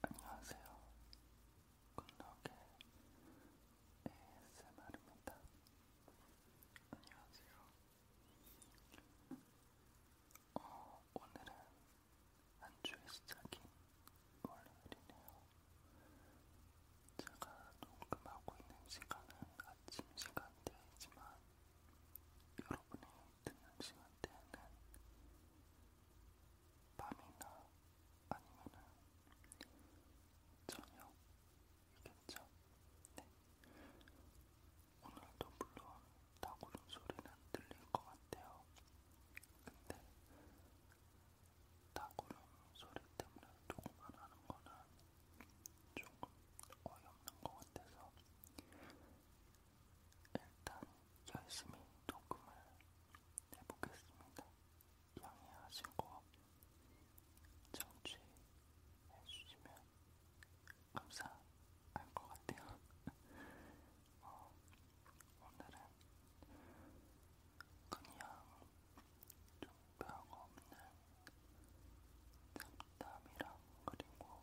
안녕하세요. 굿럭의 ASMR입니다. 안녕하세요. 어, 오늘은 한 주의 시작인 월요일이네요. 제가 녹음하고 있는 시간은 아침 시간대이지만 여러분의 듣는 시간대에는 밤이나 아니면은 저녁이겠죠. 네. 오늘도 물론 다구름 소리는 들릴 것 같아요. 근데 다구름 소리 때문에 녹음만 하는 거는 조금 어이없는 것 같아서 일단 열심히 녹음을 해보겠습니다. 양해하신 거 청취해주시면 감사할 것 같아요. 어, 오늘은 그냥 좀 별거 없는 잡담이랑 그리고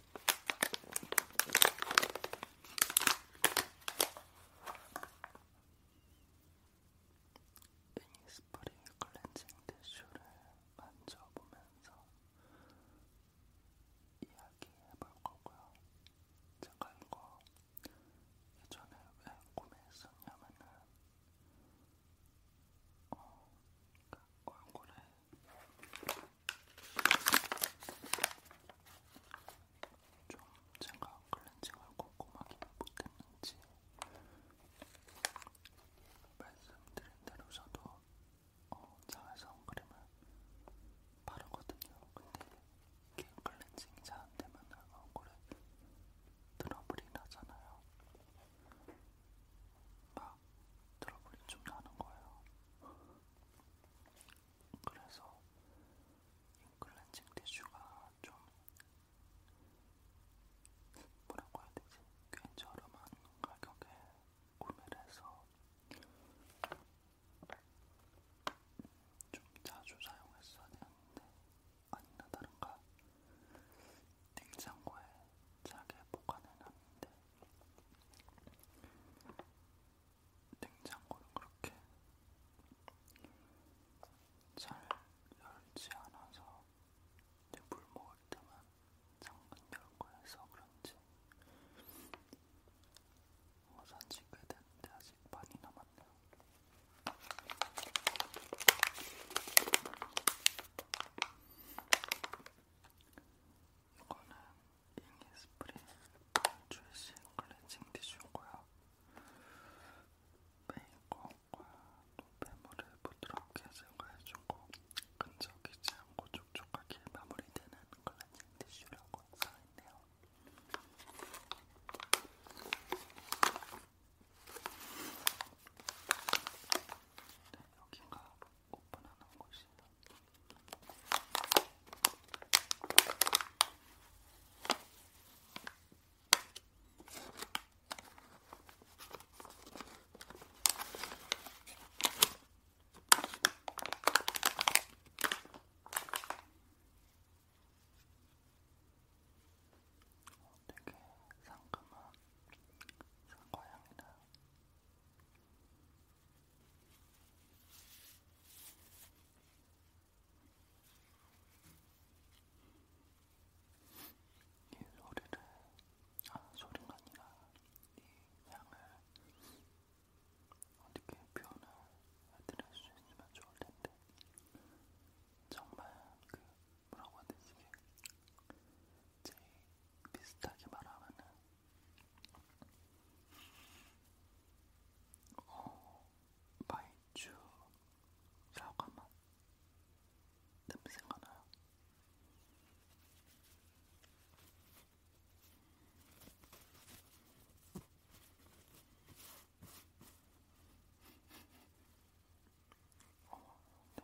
핑스프링 클렌징 티슈를 만져보면서 이야기해볼 거고요. 제가 이거 예전에 왜 구매했었냐면은 어, 그러니까 얼굴에 좀 제가 클렌징을 꼼꼼하게 못했는지 말씀드린 대로 저도 어, 자외 선크림을 바르거든요. 근데 이게 클렌징이 잘안 되면 얼굴에 트러블이 나잖아요. 막 트러블이 좀 나는 거예요. 그래서 인클렌징 티슈가 좀 뭐라고 해야 되지? 꽤 저렴한 가격에 구매를 해서 좀 자주 사용했어야 되는데 아니나 다른가 냉장고에 자게 보관해놨는데 냉장고를 그렇게 잘 열지 않아서 이제 물 먹을 때만 잠깐 열고 해서 그런지 산지 꽤 됐는데 아직 많이 남았네요. 이거는 이니스프리 출시 클렌징 티슈고요. 메이크업과 노폐물을 부드럽게 제거해주고 끈적이지 않고 촉촉하게 마무리되는 클렌징 티슈라고 써있네요. 네, 여기가 오픈하는 곳이다. 되게 상큼한 상과향이다. 이 소리를, 아, 소리가 아니라 이 향을 어떻게 표현을 해드릴 수 있으면 좋을 텐데, 정말 그, 뭐라고 하듯이, 제일 비슷하게 말하면은 어, 말주 사과맛 냄새가 나요. 어, 네.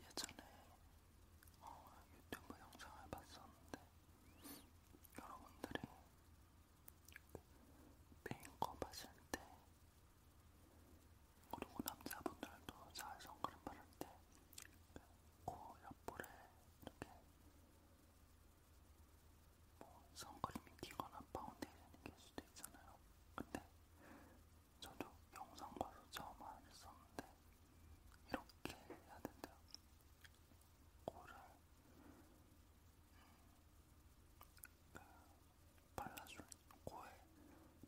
예전에 어, 유튜브 영상을 봤었는데 여러분들이 메인컵 하실 때 그리고 남자분들도 잘 선크림 바를 때코 옆볼에 이렇게 뭐 선크림이 튀거나 파운데이션이 낄 수도 있잖아요. 근데 저도 영상 봐서 처음 알았었는데 이렇게 해야 된대요. 코를 음, 그 발라줄 코에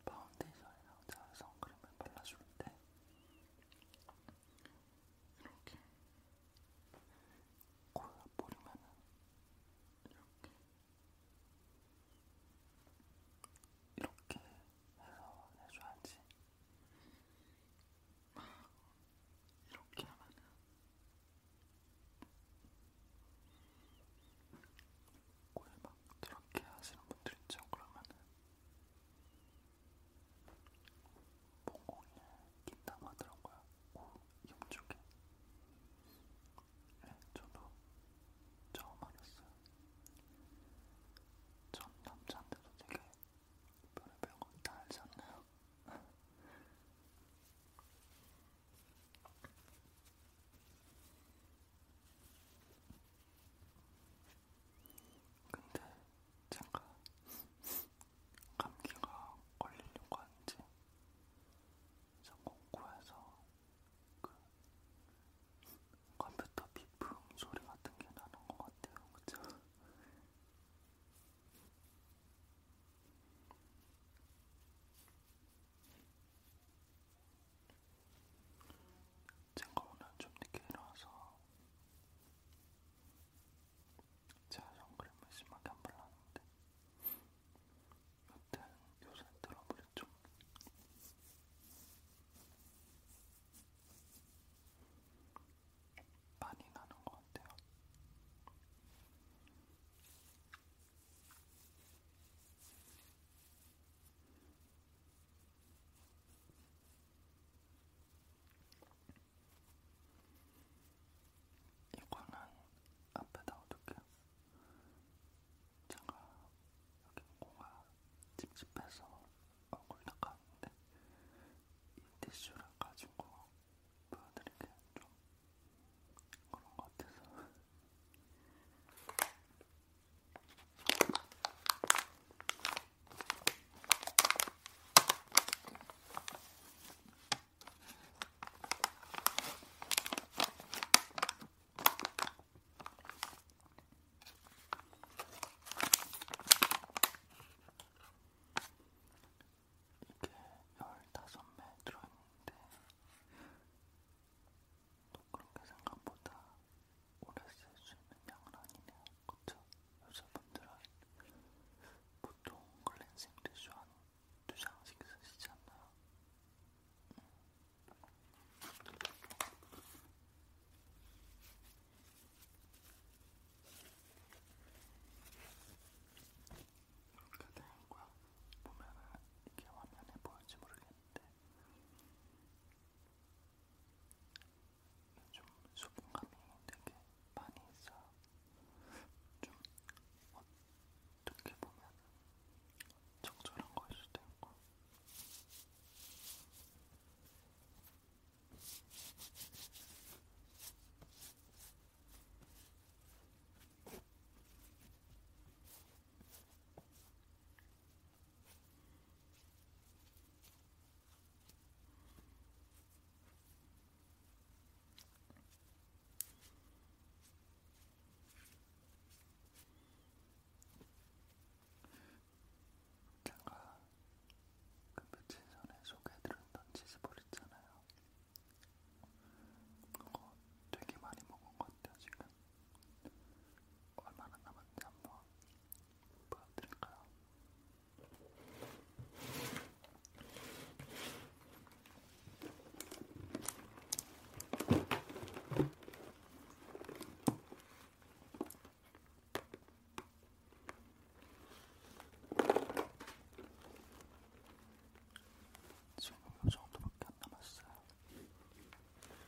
파운데이션이랑 잘 선크림을 발라줄 때 이렇게 골라 뿌리면은 이렇게 이렇게 해서 해줘야지 막 이렇게 하면은 골막 저렇게 하시는 분들 있죠 그러면은 몽공이에 낀다고 하더라고요. 오, 염쪽에. 네, 예, 저도 처음 알았어요. 전 남자한테도 되게 별의별 건다 알지 않나요? 근데 제가 감기가 걸리려고 한지 자꾸 코에서 그 컴퓨터 비품 소리 같은 게 나는 것 같아요, 그쵸? 제가 오늘 좀 늦게 일어나서 제가 선크림을 심하게 안 발랐는데 여튼 요새 트러블이 좀 많이 나는 것 같아요. 이거는 앞에다 어둘게요 제가 여기 코가 찝찝해서 얼굴 닦았는데 이 티슈를 가지고 보여드릴게요. 좀 그런 것 같아서 이게 15매 들어있는데 또 그렇게 생각보다 오래 쓸 수 있는 양은 아니네요. 그쵸? 여자분들은 보통 클렌징 티슈 한두 장씩 쓰시지 않나요? 이렇게 되는 거야. 보면은 이게 화면에 보일지 모르겠는데 좀 수분감이 되게 많이 있어요. 좀 어떻게 보면 적절한 거일 수도 있고. 제가 그 며칠 전에 소개해드렸던 치즈볼 있잖아요. 그거 되게 많이 먹은 것 같아요, 지금. 얼마나 남았는지 한번 보여드릴까요? 지금 이 정도밖에 안 남았어요.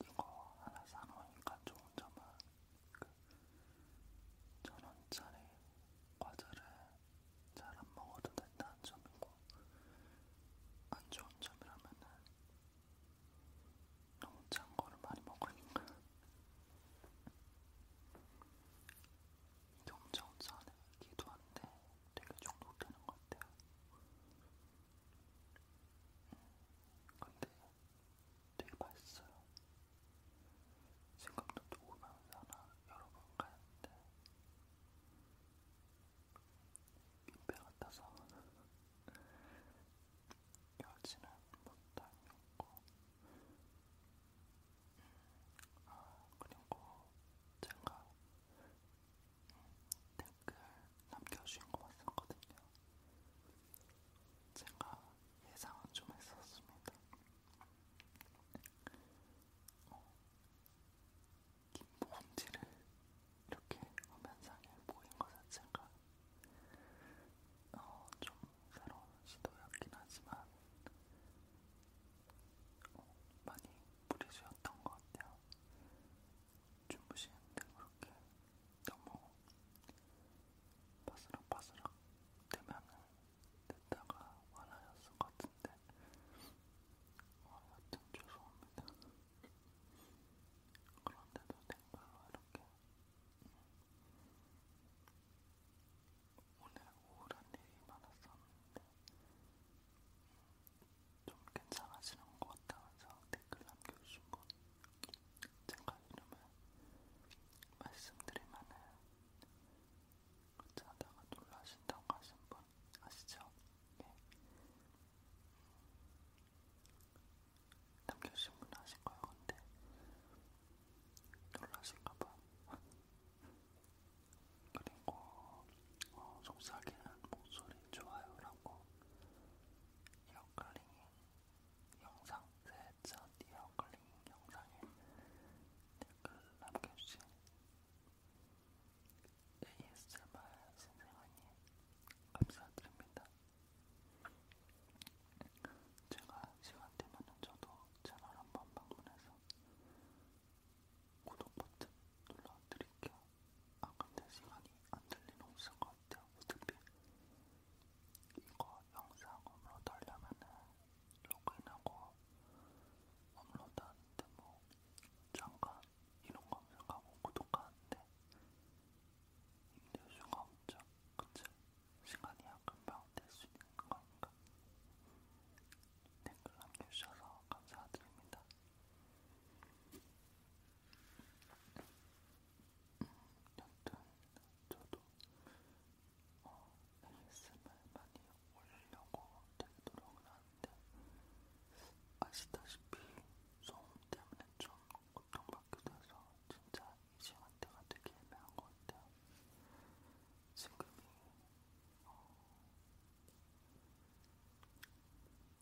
이거 하나 사놓으니까 좋은 점은 그 천원짜리 과자를 잘 안 먹어도 된다는 점이고 안 좋은 점이라면은 너무 짠 거를 많이 먹으니까 이게 혼자 혼자 하는 얘기도 한데 되게 중독되는 것 같아요. 음, 근데 되게 맛있어요. 생각도 오면서 하나 여러 번 가는데 민폐 같아서 여지는 못다녔고 아, 그리고 제가 음, 댓글 남겨주신 거 봤었거든요. 제가 예상은 좀 했었습니다. 어, 김봉지를 이렇게 화면상에 보인 것 자체가 어, 좀 새로운 시도였긴 하지만 어, 많이 무리수였던 것 같아요. 주무시는데 그렇게 너무 바스락바스락 되면은 듣다가 화나셨을 것 같은데 어, 여튼 죄송합니다. 그런데도 댓글로 이렇게 오늘 우울한 일이 많았었는데 좀 괜찮아지는 것 같다면서 댓글 남겨주신 분 제가 이름을 말씀드리면은 그렇지 않다가 놀라신다고 하신 분 아시죠? 예. 남겨주신 분 아실 거예요. 근데 놀라실까봐 그리고 어, 속삭이는 목소리 좋아요라고 이어클링 영상 세전 이어클링 영상에 댓글 남겨주신 ASMR 선생님 감사드립니다. 제가 시간 되면 저도 채널 한번 방문해서 구독 버튼 눌러드릴게요. 아 근데 시간이 안 들리는 없을 것 같아요. 어차피 이거 영상 업로드 하려면은 로그인하고 업로드 하는데 뭐 잠깐 이런 검색하고 구독하는데 힘들 수가 없죠. 그치? 시간이 있으면 금방 될 수 있는 거니까 댓글 남겨주셔서 감사드립니다. 여튼 저도 어, ASMR 많이 올리려고 되게 노력을 하는데 아시다시피 소음 때문에 좀 고통받기도 해서 진짜 시간대가 되게 애매한 것 같아요. 지금이 어,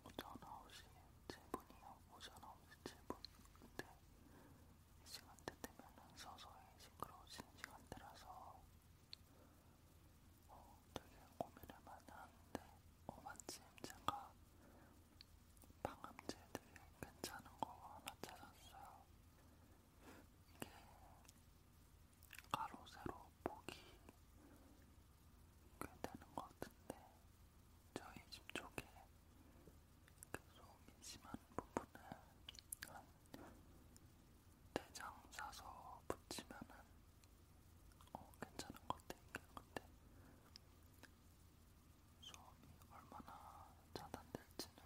오전 9시 7분이요. 오전 9시 7분. 근데 이 시간대 되면은 서서히 시끄러워진 시간대라서 어, 되게 고민을 많이 하는데 어, 마침 제가 방음제 되게 괜찮은 거 하나 찾았어요. 이게 가로 세로 보기 꽤 되는 것 같은데 저희 집 쪽에 그 소음이 심한 부분을 한 대장 사서 붙이면은 어, 괜찮은 것 같아요. 근데 소음이 얼마나 차단될지는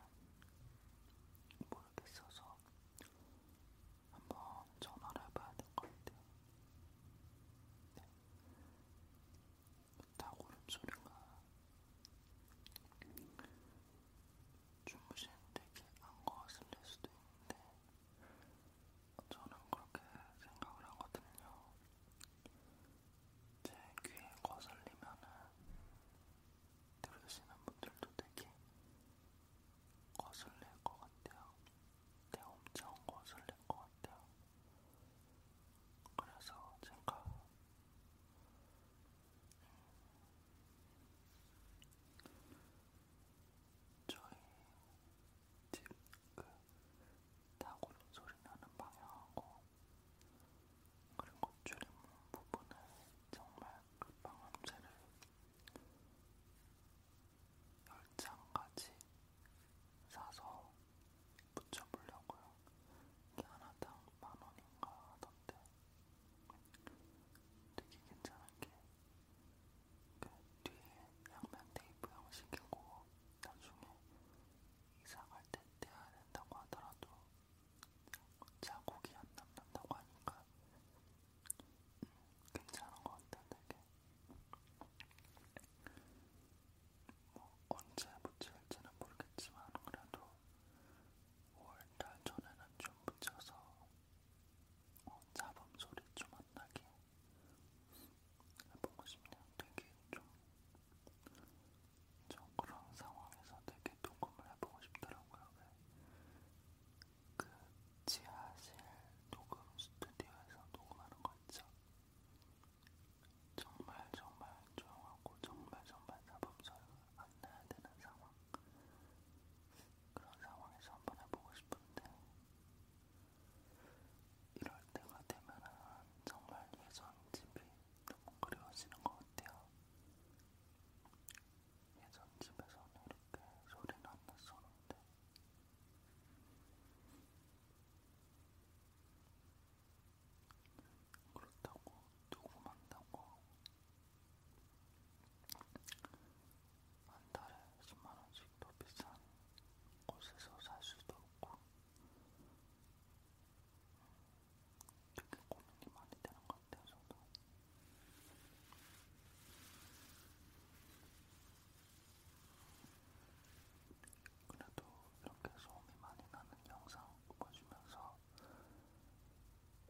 모르겠어서 한번 전화를 해봐야 될 것 같아요. 네. 다고름 소리가 주무시는데 안 거슬릴 수도 있는데 저는 그렇게 생각을 하거든요. 제 귀에 거슬리면은 들으시는 분들도 되게 거슬릴 것 같아요. 되게 엄청 거슬릴 것 같아요. 그래서 제가 저희 집그 다구름 소리 나는 방향하고 그리고 줄임문 부분은 정말 그 방음제를 열장까지 사서 붙여보려고요. 이게 하나당 만원인가 하던데 되게 괜찮은 게그 뒤에 양면 테이프 형식이고 나중에 이사갈 때 떼야 된다고 하더라도 자국이 안 남는다고 하니까 음, 괜찮은 것 같아 되게 뭐 언제 붙일지는 모르겠지만 그래도 5월달 전에는 좀 붙여서 어, 잡음 소리 좀 안 나게 해보고 싶네요. 되게 좀저 그런 상황에서 되게 녹음을 해보고 싶더라고요. 그 지하실 녹음 스튜디오에서 녹음하는 거 있죠? 정말 정말 조용하고 정말 정말 사범소리가 안 나야 되는 상황. 그런 상황에서 한번 해보고 싶은데 이럴 때가 되면은 정말 예전 집이 너무 그리워지는 것 같아요. 예전 집에서는 이렇게 소리는 안 났었는데 그렇다고 녹음한다고 한 달에 10만원씩 더 비싼 곳에서 살 수도 없고 되게 고민이 많이 되는 것 같아요, 저도. 그래도 이렇게 소음이 많이 나는 영상 보시면서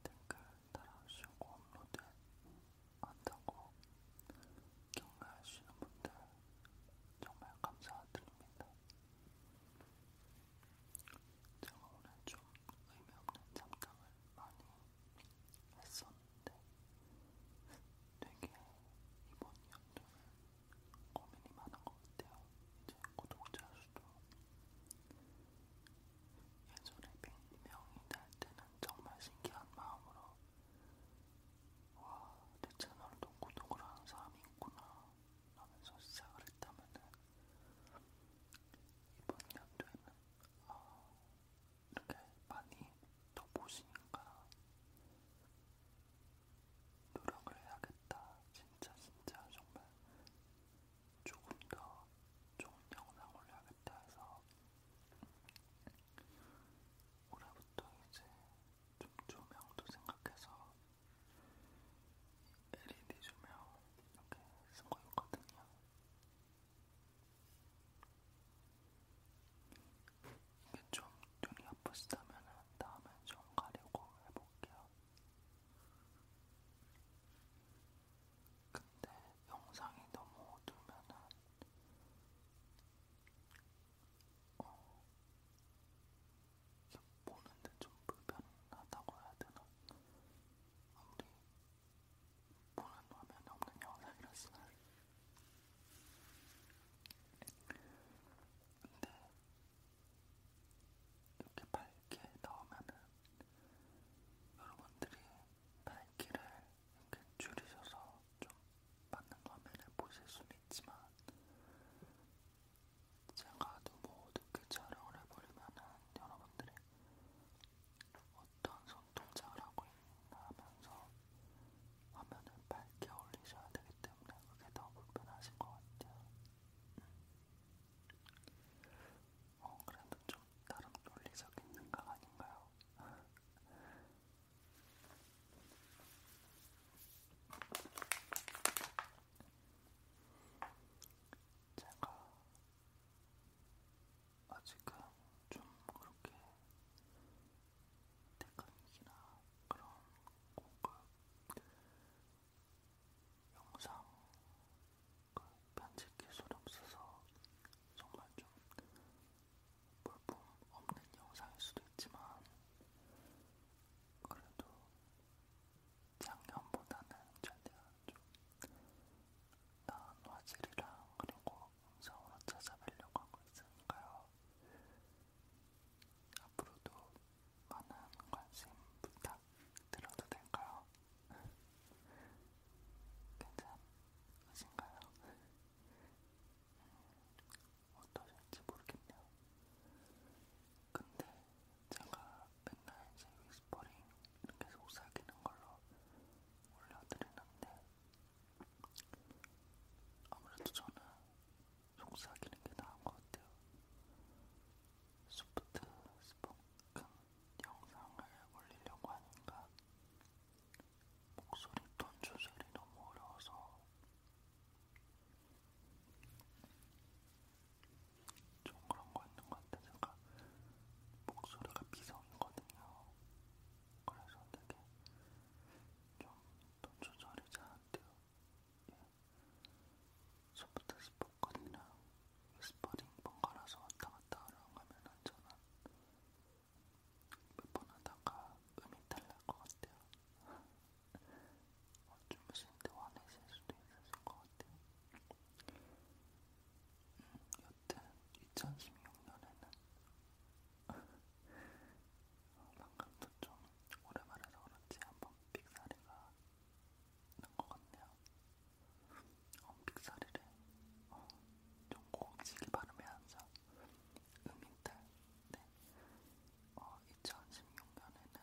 댓글 달아주시고 업로드 한다고 격려하시는 분들 정말 감사드립니다. 제가 오늘 좀 의미 없는 잡담을 많이 했었는데 되게 이번 연도는 고민이 많은 것 같아요. 이제 구독자 수도 예전에 100명이 될 때는 정말 신기한 마음으로 와, 내 채널도 구독을 하는 사람이 있구나 하면서 시작을 했다면은 이번 연도에는 어, 이렇게 많이 더 보시니까 노력을 해야겠다. 진짜 진짜 정말 조금 더 좋은 영상 올려야겠다 해서 올해부터 이제 좀 조명도 생각해서 LED 조명 이렇게 쓰고 있거든요. 이게 좀 눈이 아프시다면 다음에 좀 가리고 해볼게요. 근데 영상이 너무 어두우면은 어, 보는데 좀 불편하다고 해야 되나? 아무리 보는 화면이 없는 영상이라서 근데 이렇게 밝게 나오면은 여러분들이 밝기를 이렇게 줄이셔서 좀 맞는 화면을 보실 수는 있지만 제가 너무 어둡게 촬영을 해버리면은 여러분들이 어떤 손동작을 하고 있나 하면서 화면을 밝게 올리셔야 되기 때문에 그게 더 불편하신 것 같아요. 음. 어, 그래도 좀 나름 논리적인 생각 아닌가요? 제가 아직은 좀 그렇게 테크닉이나 그런 공급 영상 그 편집 기술이 없어서 정말 좀 볼품 없는 영상일 수도 있지만 그래도 작년보다는 최대한 좀 나은 화질이랑 그리고 음성으로 찾아뵈려고 하고 있으니까요. 앞으로도 많은 관심 부탁드려도 될까요? 괜찮으신가요? 어떠실지 모르겠네요. 근데 제가 맨날 이제 위스퍼링 이렇게 속삭이는 걸로 올려드리는데 아무래도 저는 속삭이는 게 나은 것 같아요. 소프트 스포큰 영상을 올리려고 하니까 목소리 톤 조절이 너무 어려워서 좀 그런 거 있는 것 같아. 제가 목소리가 비성이거든요. 그래서 되게 좀돈 조절이 잘안 돼요. 예. 소프트 스포커이나 스퍼링 번갈아서 왔다 갔다 하려고 하면은 저는 몇번 하다가 음이 탈날 것 같아요. 주무시는데 화내실 수도 있었을 것 같아요. 음, 여튼 2016년에는 어, 방금도 좀 오래 말해서 그런지 한번 음, 빅사리가 난 것 같네요. 어, 빅사리를 어, 좀 고급지게 발음해야 하죠. 음인탈. 네. 어, 2016년에는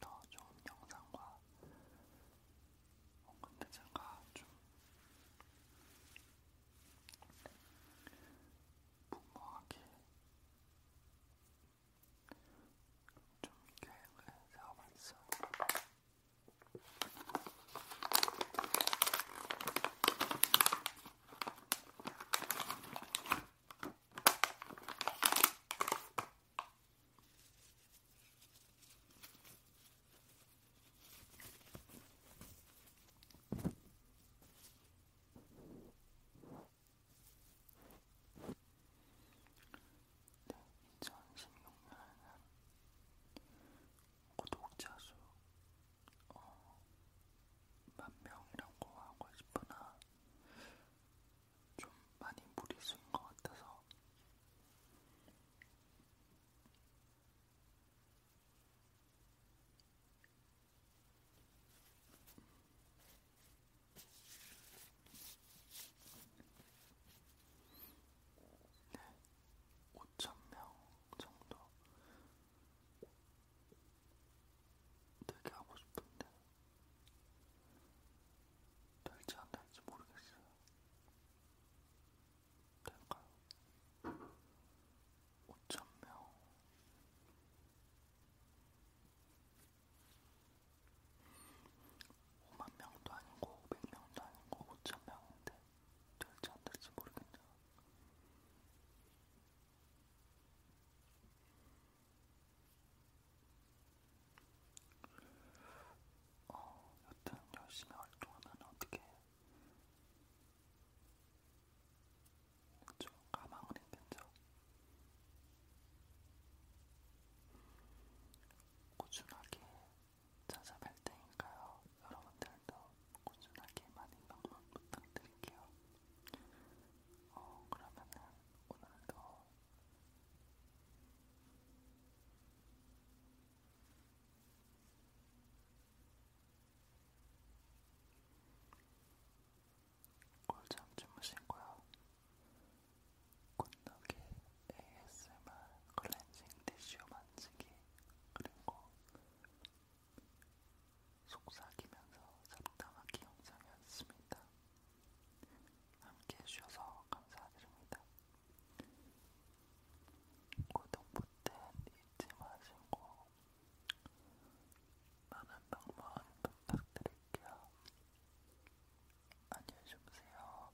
더 좋은 영상과 어, 근데 제가 좀 무모하게 좀 계획을 세워봤어요. 네, 2016년에는 구독자 수 어, 만 명이라고 하고 싶으나 좀 많이 무리수인 것 같아서 네, 5,000명 정도 되게 하고 싶은데 될지 안 될지 모르겠어요. 될까요? 5,000명. 오만 명도 아니고 오백 명도 아니고 오천 명인데 될지 안 될지 모르겠네요. 어, 여튼 열심히 활동하면 어떻게 좀 가망은 있겠죠. 꾸준하게 찾아뵐 테니까요. 여러분들 더 꾸준하게 많은 방문 부탁드릴게요. 어, 그러면은 오늘도 꿀잠 주무시고요. 굿노기 ASMR 클렌징 티슈 만지기 그리고 속삭이면서 잡담하기 영상이었습니다. 함께 해주셔서 감사드립니다. 구독 버튼 잊지 마시고 많은 방문 부탁드릴게요. 안녕히 주무세요.